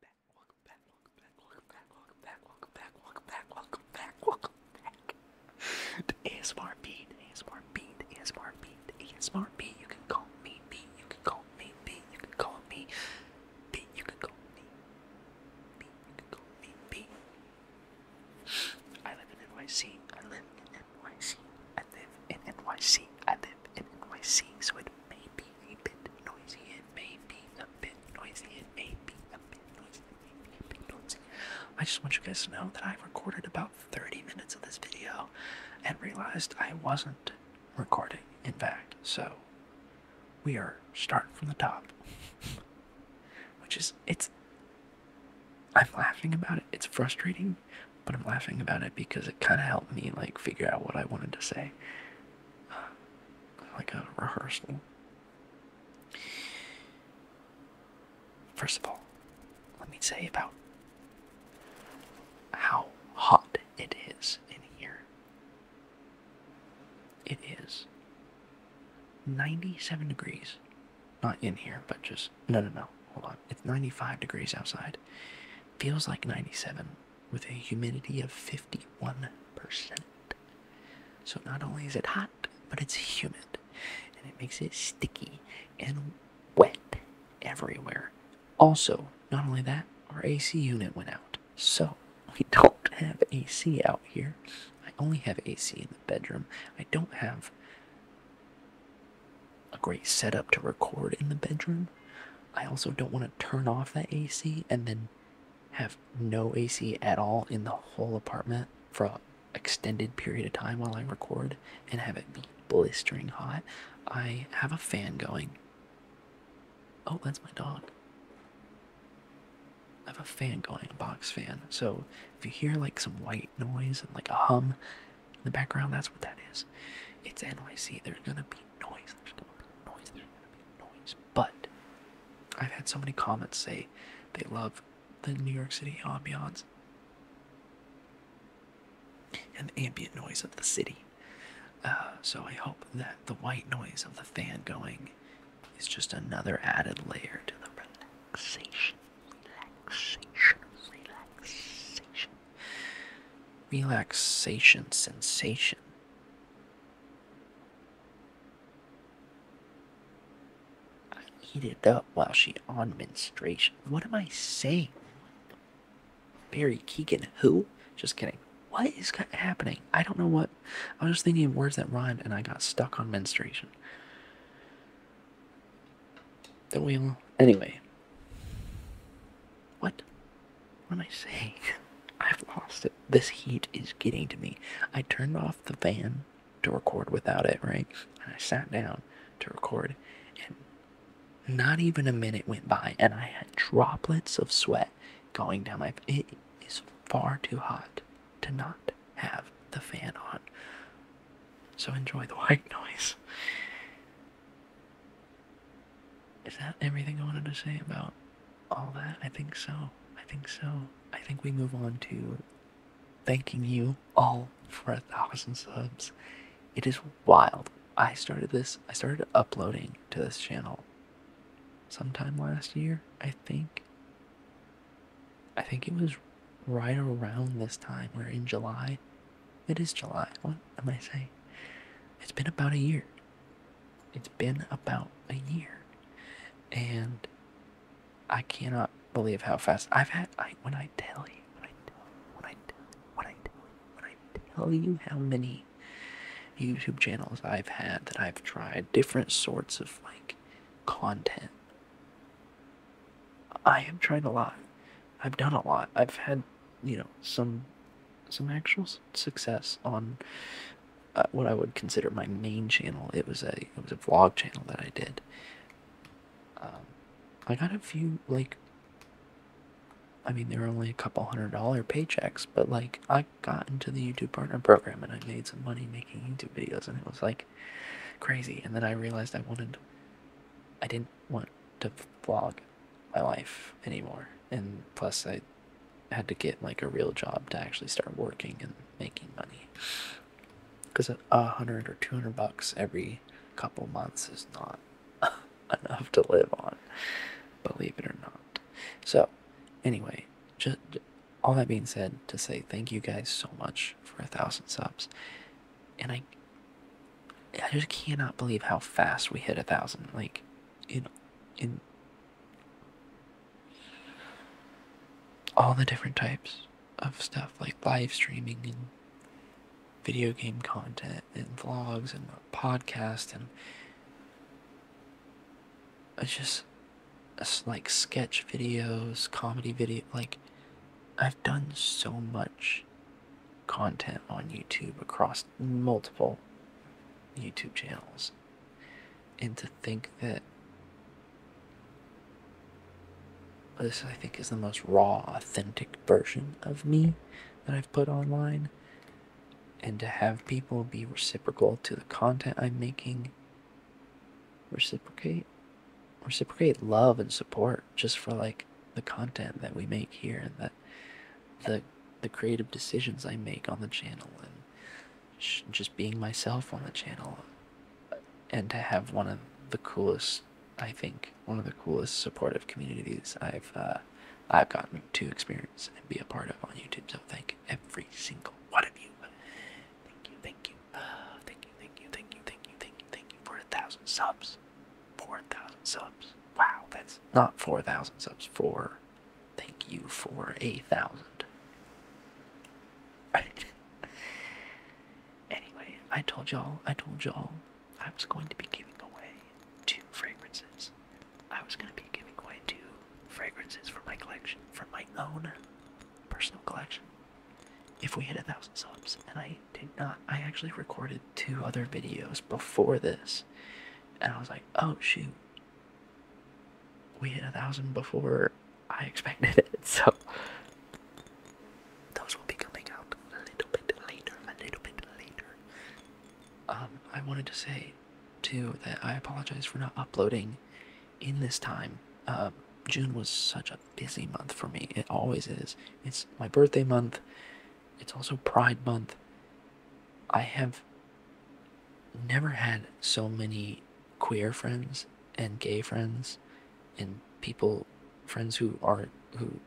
back, welcome back, welcome back, welcome back, welcome back, welcome back, welcome back, welcome back, welcome back. The ASMR beat, ASMR beat, ASMR beat, ASMR beat. You can call me B, you can call me B, you can call me B, you can call me B, you can call me B. I live in NYC, I live in NYC, I live in NYC, I live in NYC, so it may be a bit noisy, it may be a bit noisy, it may be a bit noisy, it may be a bit noisy. I just want you guys to know that I recorded about 30 minutes of this video and realized I wasn't recording, in fact, so we are starting from the top. Which is, it's, I'm laughing about it, it's frustrating, but I'm laughing about it because it kind of helped me like figure out what I wanted to say like a rehearsal. First of all, let me say about how hot it is in here. It is 97 degrees. Not in here, but just. No, no, no. Hold on. It's 95 degrees outside. Feels like 97 with a humidity of 51%. So not only is it hot, but it's humid and it makes it sticky and wet everywhere. Also, not only that, our AC unit went out. So, we don't have AC out here. I only have AC in the bedroom. I don't have a great setup to record in the bedroom. I also don't want to turn off that AC and then have no AC at all in the whole apartment for an extended period of time while I record and have it be blistering hot. I have a fan going. Oh, that's my dog. I have a fan going, a box fan. So if you hear like some white noise and like a hum in the background, that's what that is. It's NYC. There's gonna be noise. There's gonna be noise. There's gonna be noise. But I've had so many comments say they love the New York City ambiance and the ambient noise of the city. Uh, so I hope that the white noise of the fan going is just another added layer to the relaxation, relaxation, relaxation relaxation sensation. I eat it up while she on menstruation. What am I saying? Barry Keegan, who? Just kidding. What is happening? I don't know what. I was just thinking of words that rhymed and I got stuck on menstruation. we wheel. Anyway, what? What am I saying? I've lost it. This heat is getting to me. I turned off the fan to record without it, rings, And I sat down to record, and not even a minute went by, and I had droplets of sweat going down my. It is far too hot to not have the fan on. So enjoy the white noise. Is that everything I wanted to say about all that? I think so. I think so. I think we move on to thanking you all for a thousand subs. It is wild. I started this, I started uploading to this channel sometime last year, I think. I think it was right around this time, where in July it is July. What am I saying? It's been about a year. It's been about a year. And I cannot believe how fast I've had I when I tell you when I when I when I tell you how many YouTube channels I've had that I've tried different sorts of like content. I am trying a lot. I've done a lot. I've had, you know, some some actual success on uh, what I would consider my main channel. It was a it was a vlog channel that I did. Um, I got a few like. I mean, there were only a couple hundred dollar paychecks, but like I got into the YouTube Partner Program and I made some money making YouTube videos, and it was like crazy. And then I realized I wanted, I didn't want to vlog my life anymore. And plus, I had to get like a real job to actually start working and making money. Because a hundred or two hundred bucks every couple months is not enough to live on, believe it or not. So, anyway, just all that being said, to say thank you guys so much for a thousand subs and I I just cannot believe how fast we hit a thousand. Like in in all the different types of stuff like live streaming and video game content and vlogs and podcasts and it's just like sketch videos, comedy video like I've done so much content on YouTube across multiple YouTube channels. And to think that this, I think, is the most raw, authentic version of me that I've put online. And to have people be reciprocal to the content I'm making, reciprocate, reciprocate love and support just for like the content that we make here and that the the creative decisions I make on the channel and just being myself on the channel and to have one of the coolest I think one of the coolest supportive communities I've uh, I've gotten to experience and be a part of on YouTube so thank every single one of you thank you thank you thank you thank you thank you thank you thank you thank you for a thousand subs 4,000 subs. Wow, that's not 4,000 subs. Four. Thank you for a thousand. anyway, I told y'all, I told y'all, I was going to be giving away two fragrances. I was going to be giving away two fragrances from my collection, from my own personal collection if we hit a thousand subs and i did not i actually recorded two other videos before this and i was like oh shoot we hit a thousand before i expected it so those will be coming out a little bit later a little bit later um i wanted to say too that i apologize for not uploading in this time um june was such a busy month for me. It always is. It's my birthday month. It's also Pride month. I have never had so many queer friends and gay friends and people friends who are who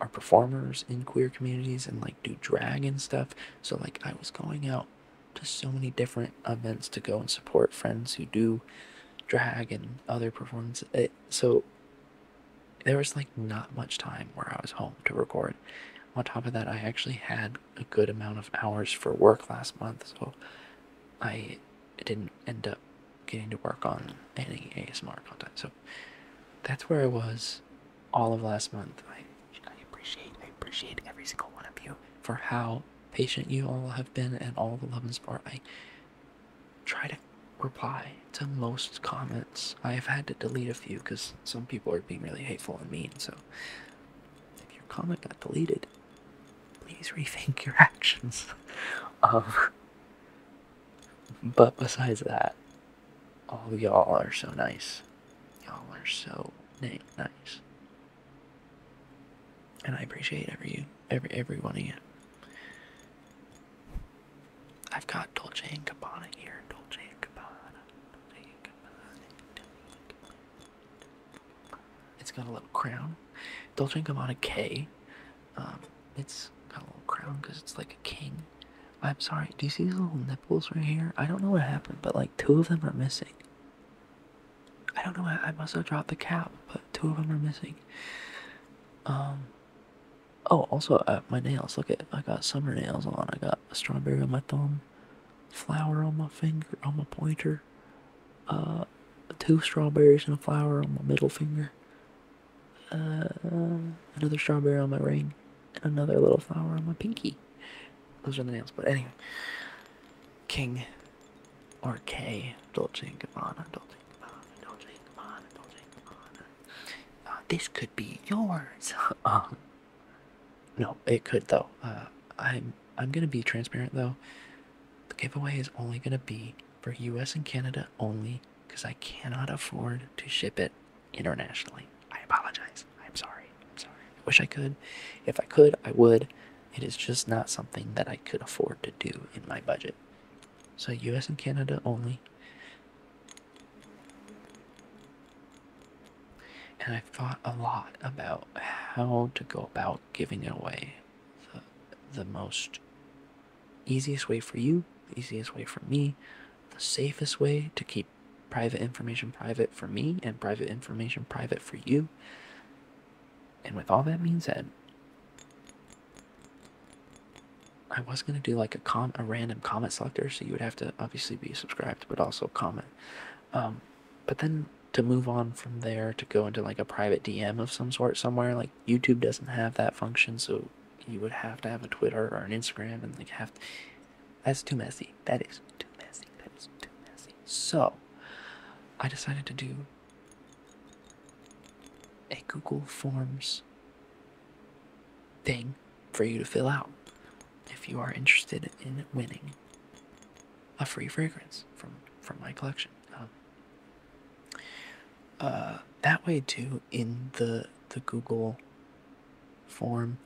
are performers in queer communities and like do drag and stuff. So like I was going out to so many different events to go and support friends who do drag and other performances. so there was like not much time where I was home to record. On top of that, I actually had a good amount of hours for work last month, so I didn't end up getting to work on any ASMR content. So that's where I was all of last month. I, I appreciate I appreciate every single one of you for how patient you all have been and all the love and support. I try to reply to most comments. I have had to delete a few because some people are being really hateful and mean. So, if your comment got deleted, please rethink your actions. um, but besides that, all y'all are so nice. Y'all are so nice and I appreciate every every every one of you. I've got Dolce and Gabbana here. Dolce and Gabbana. It's got a little crown. Dolce and Gabbana K. Um, it's got a little crown because it's like a king. I'm sorry. Do you see these little nipples right here? I don't know what happened, but like two of them are missing. I don't know. why. I must have dropped the cap, but two of them are missing. Um, oh, also uh, my nails. Look at I got summer nails on. I got a strawberry on my thumb, flower on my finger, on my pointer, uh, two strawberries and a flower on my middle finger, uh, another strawberry on my ring, and another little flower on my pinky. Those are the nails. But anyway, king or K, Dolce & Gabbana, Dolce & Gabbana, Dolce & Gabbana, Dolce & Gabbana. Uh, this could be yours. Um, no, it could though. Uh, I'm I'm gonna be transparent though. The giveaway is only gonna be for U.S. and Canada only, because I cannot afford to ship it internationally. I apologize. I'm sorry. I'm sorry. I wish I could. If I could, I would. It is just not something that I could afford to do in my budget. So US and Canada only. And i thought a lot about how to go about giving it away. The, most easiest way for you, easiest way for me, the safest way to keep private information private for me and private information private for you. And with all that being said, I was gonna do like a com a random comment selector, so you would have to obviously be subscribed, but also comment. Um, but then to move on from there to go into like a private DM of some sort somewhere, like YouTube doesn't have that function, so you would have to have a Twitter or an Instagram, and like have that's too messy. That is too messy. That is too messy. So I decided to do a Google Forms thing for you to fill out if you are interested in winning a free fragrance from from my collection. Um, uh, that way too, in the the Google form,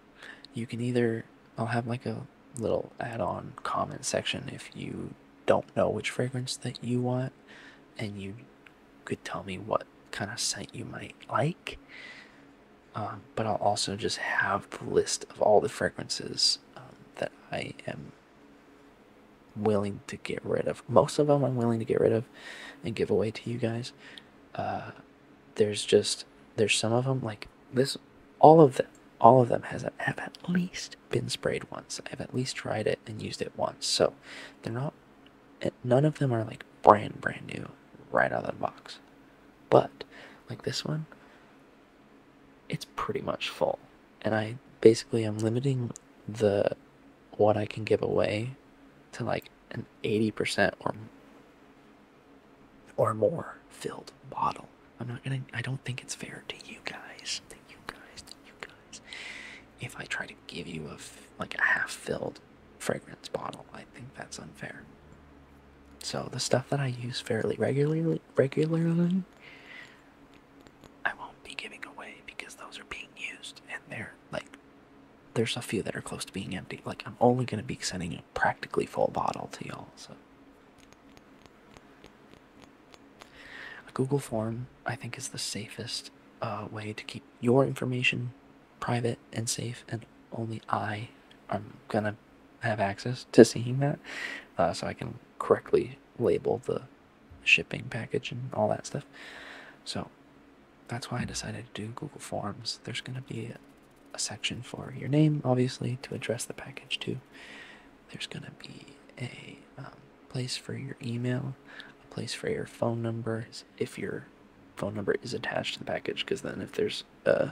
you can either I'll have like a little add-on comment section if you don't know which fragrance that you want and you could tell me what kind of scent you might like um, but i'll also just have the list of all the fragrances um, that i am willing to get rid of most of them i'm willing to get rid of and give away to you guys uh, there's just there's some of them like this all of them all of them has have at least been sprayed once. I've at least tried it and used it once. So they're not eh, none of them are like brand brand new right out of the box. But like this one, it's pretty much full. And I basically I'm limiting the what I can give away to like an 80% or or more filled bottle. I don't think it's fair to you guys. To you guys. To you guys. If I try to give you a like a half-filled fragrance bottle, I think that's unfair. So the stuff that I use fairly regularly, regularly, I won't be giving away because those are being used, and they're like, there's a few that are close to being empty. Like I'm only gonna be sending a practically full bottle to y'all. So a Google form, I think, is the safest uh, way to keep your information private and safe, and only I am gonna have access to seeing that, uh, so I can correctly label the shipping package and all that stuff. So that's why I decided to do Google Forms. There's gonna be a section for your name, obviously, to address the package to there's going to be a um, place for your email, a place for your phone number if your phone number is attached to the package. Because then, if there's a,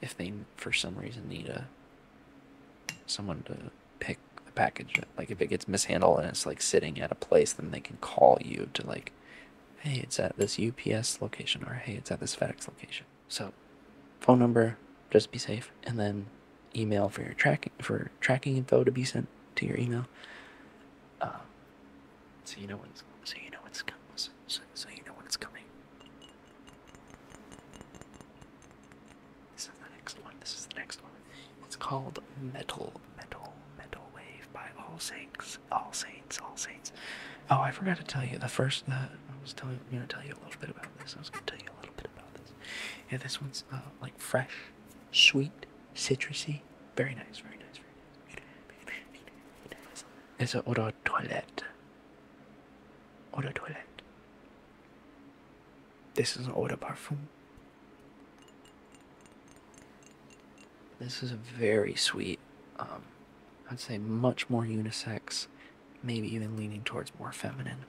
if they for some reason need a someone to pick the package, like if it gets mishandled and it's like sitting at a place, then they can call you to like, hey, it's at this UPS location, or hey, it's at this FedEx location. So, phone number, just be safe, and then email for your tracking for tracking info to be sent to your email. Uh, so you know when so you know when coming. So, you know what's coming. This is the next one. This is the next one. It's called Metal, Metal, Metal Wave by All Saints, All Saints, All Saints. Oh, I forgot to tell you the first that I was telling. I'm gonna tell you a little bit about this. I was gonna tell you a little bit about this. Yeah, this one's uh, like fresh, sweet, citrusy. Very nice, very nice, very nice. It's an eau de toilette. Eau de toilette. This is an eau de parfum. This is a very sweet, um, I'd say much more unisex maybe even leaning towards more feminine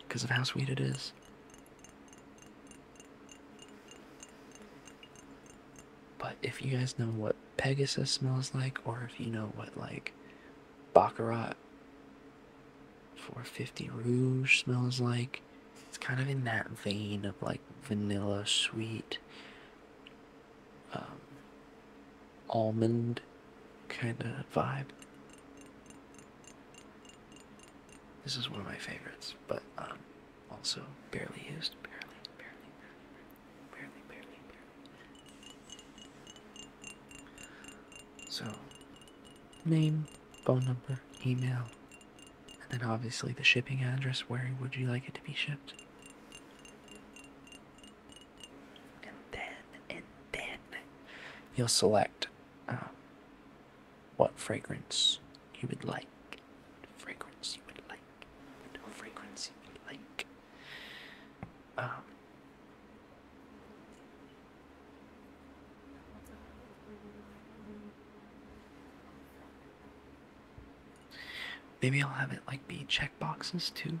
because of how sweet it is. But if you guys know what Pegasus smells like, or if you know what like Baccarat 450 Rouge smells like, it's kind of in that vein of like vanilla sweet um, almond kind of vibe. This is one of my favorites, but um, also barely used. Barely, barely, barely, barely, barely, barely. So, name, phone number, email, and then obviously the shipping address. Where would you like it to be shipped? and then and then you'll select uh, what fragrance you would like. Fragrance you would like. fragrance you would like. Um, maybe I'll have it like be checkboxes too.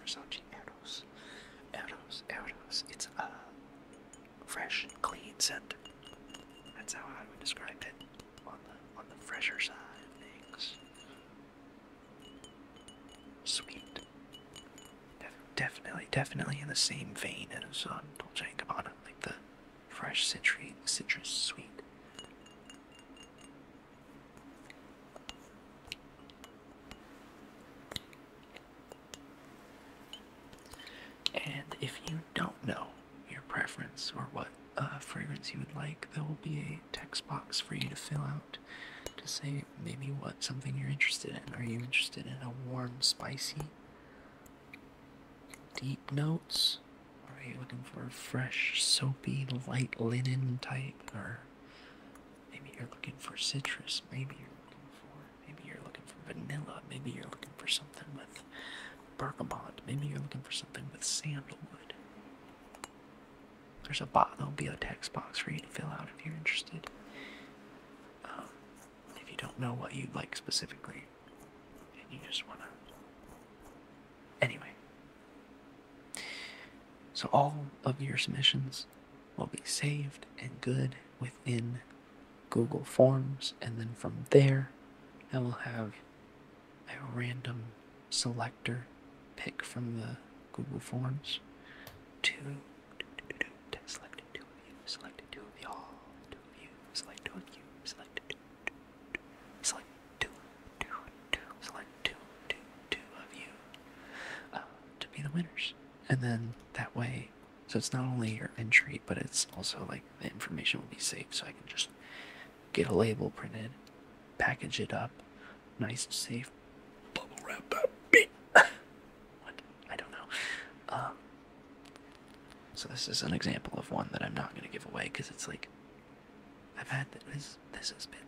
Versace Eros. Eros, Eros. It's a fresh, clean scent. That's how I would describe it on the on the fresher side of things. Sweet. definitely, definitely in the same vein as on um, Dolce & Gabbana, like the fresh citrus, citrus sweet. And if you don't know your preference or what uh, fragrance you would like, there will be a text box for you to fill out to say maybe what something you're interested in. Are you interested in a warm, spicy, deep notes? Are you looking for a fresh, soapy, light linen type? Or Maybe you're looking for citrus. Maybe you're looking for maybe you're looking for vanilla. Maybe you're looking for something with bergamot. Maybe you're looking for something with sandalwood. There's a bot. There'll be a text box for you to fill out if you're interested. Um, if you don't know what you'd like specifically, and you just wanna Anyway, so all of your submissions will be saved and good within Google Forms, and then from there, I will have a random selector pick from the Google Forms to select two of you, select two of y'all, two of you, select two of you, select select two, two, two, select two, two, two of you um, to be the winners. And then that way, so it's not only your entry, but it's also like the information will be saved. So I can just get a label printed, package it up, nice, safe, bubble wrap up. what? I don't know. Um, so this is an example of one that I'm not going to give away because it's like I've had this. This has been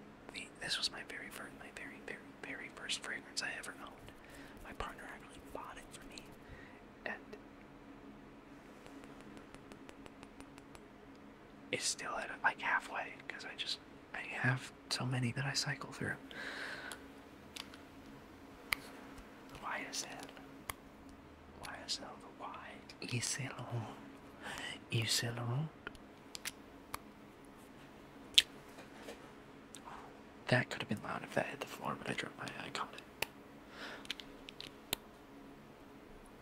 This was my very first, my very, very, very first fragrance I ever owned. My partner actually bought it for me, and it's still at like halfway because I just I have so many that I cycle through. Why is that? YSL, the Y. Yselon. Yselon. That could have been loud if I hit the floor, but I dropped my eye. I caught it.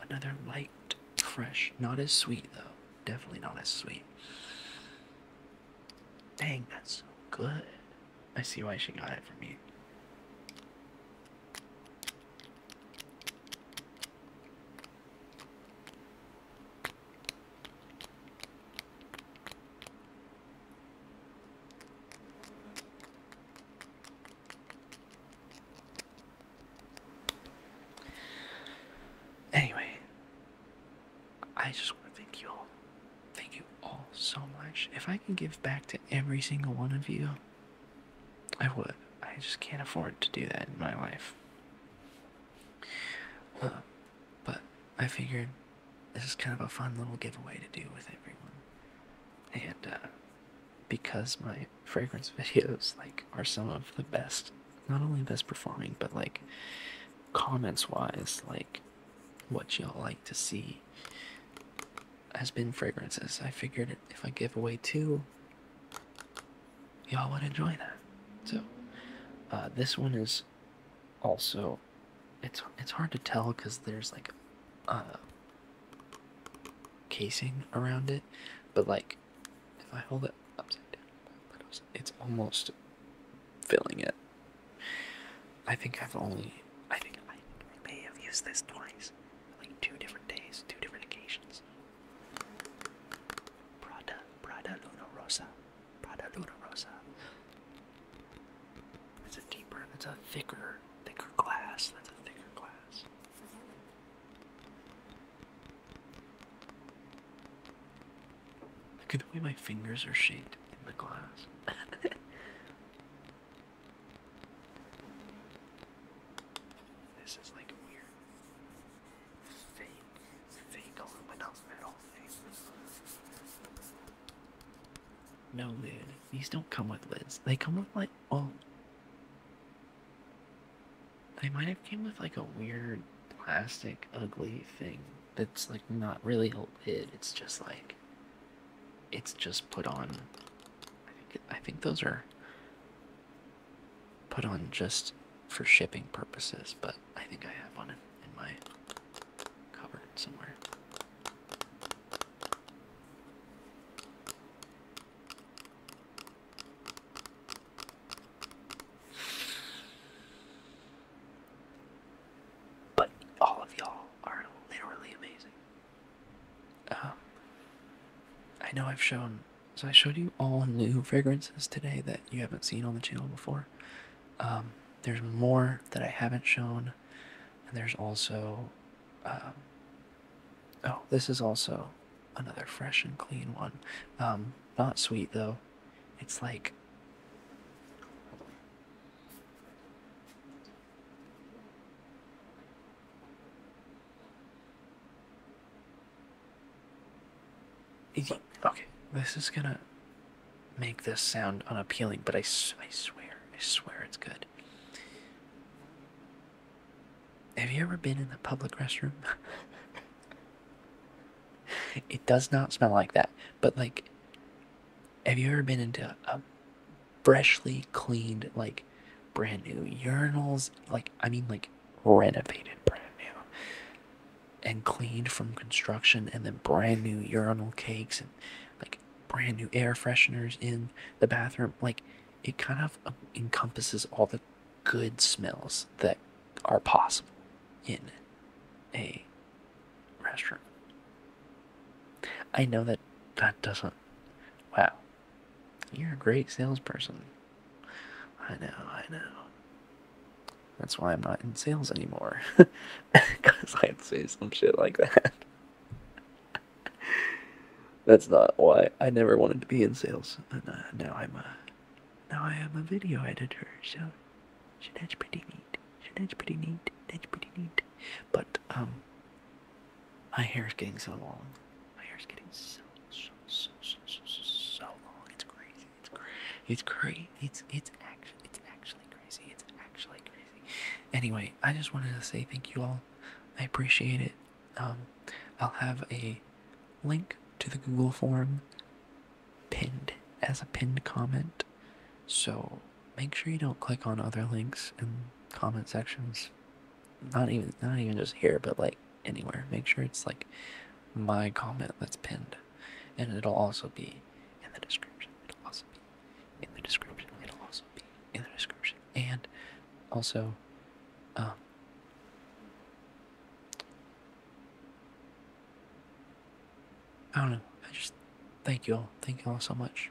Another light, fresh. Not as sweet, though. Definitely not as sweet. Dang, that's so good. I see why she got it for me. Anyway, I just want to thank you all. Thank you all so much. If I can give back to every single one of you, I would. I just can't afford to do that in my life. Uh, but I figured this is kind of a fun little giveaway to do with everyone. And uh, because my fragrance videos like are some of the best, not only best performing, but like comments wise, like what y'all like to see has been fragrances. I figured if I give away two y'all would enjoy that. So, uh, this one is also it's it's hard to tell because there's like uh casing around it, but like if I hold it upside down, it's almost filling it. I think I've only I think I may have used this twice, like two different days, two different occasions. Prada, Prada Luna Rosa, Prada Luna Rosa. It's a deeper, it's a thicker, thicker glass. That's a thicker glass. Look at the way my fingers are shaped in the glass. This is like a weird fake, fake aluminum metal thing. No lid. These don't come with lids. They come with like oh. They might have came with like a weird plastic ugly thing that's like not really a lid. It's just like it's just put on. I think I think those are put on just for shipping purposes, but I think I have one in, in my cupboard somewhere. But all of y'all are literally amazing. Um, I know I've shown, so I showed you all new fragrances today that you haven't seen on the channel before. Um, there's more that I haven't shown, and there's also, um, oh, this is also another fresh and clean one. not sweet though. It's like Okay, this is gonna make this sound unappealing, but I, I swear, I swear it's good. Have you ever been in the public restroom? it does not smell like that, but like, have you ever been into a freshly cleaned, like brand new urinals, like I mean, like renovated brand new and cleaned from construction, and then brand new urinal cakes and like brand new air fresheners in the bathroom. Like it kind of um, encompasses all the good smells that are possible in a restroom. I know that that doesn't. Wow. You're a great salesperson. I know, I know. That's why I'm not in sales anymore. Because I'd say some shit like that. That's not why I never wanted to be in sales. Uh, now I'm a, now I am a video editor. So, that's pretty neat. that's pretty neat. That's pretty neat. But um, my hair's getting so long. My hair's getting so so so so so, so long. It's crazy. It's crazy. It's crazy. It's it's actually it's actually crazy. It's actually crazy. Anyway, I just wanted to say thank you all. I appreciate it. Um, I'll have a link to the Google form pinned as a pinned comment. So make sure you don't click on other links in comment sections not even not even just here but like anywhere make sure it's like my comment that's pinned and it'll also be in the description it'll also be in the description it'll also be in the description and also um I don't know. I just thank you all. Thank you all so much.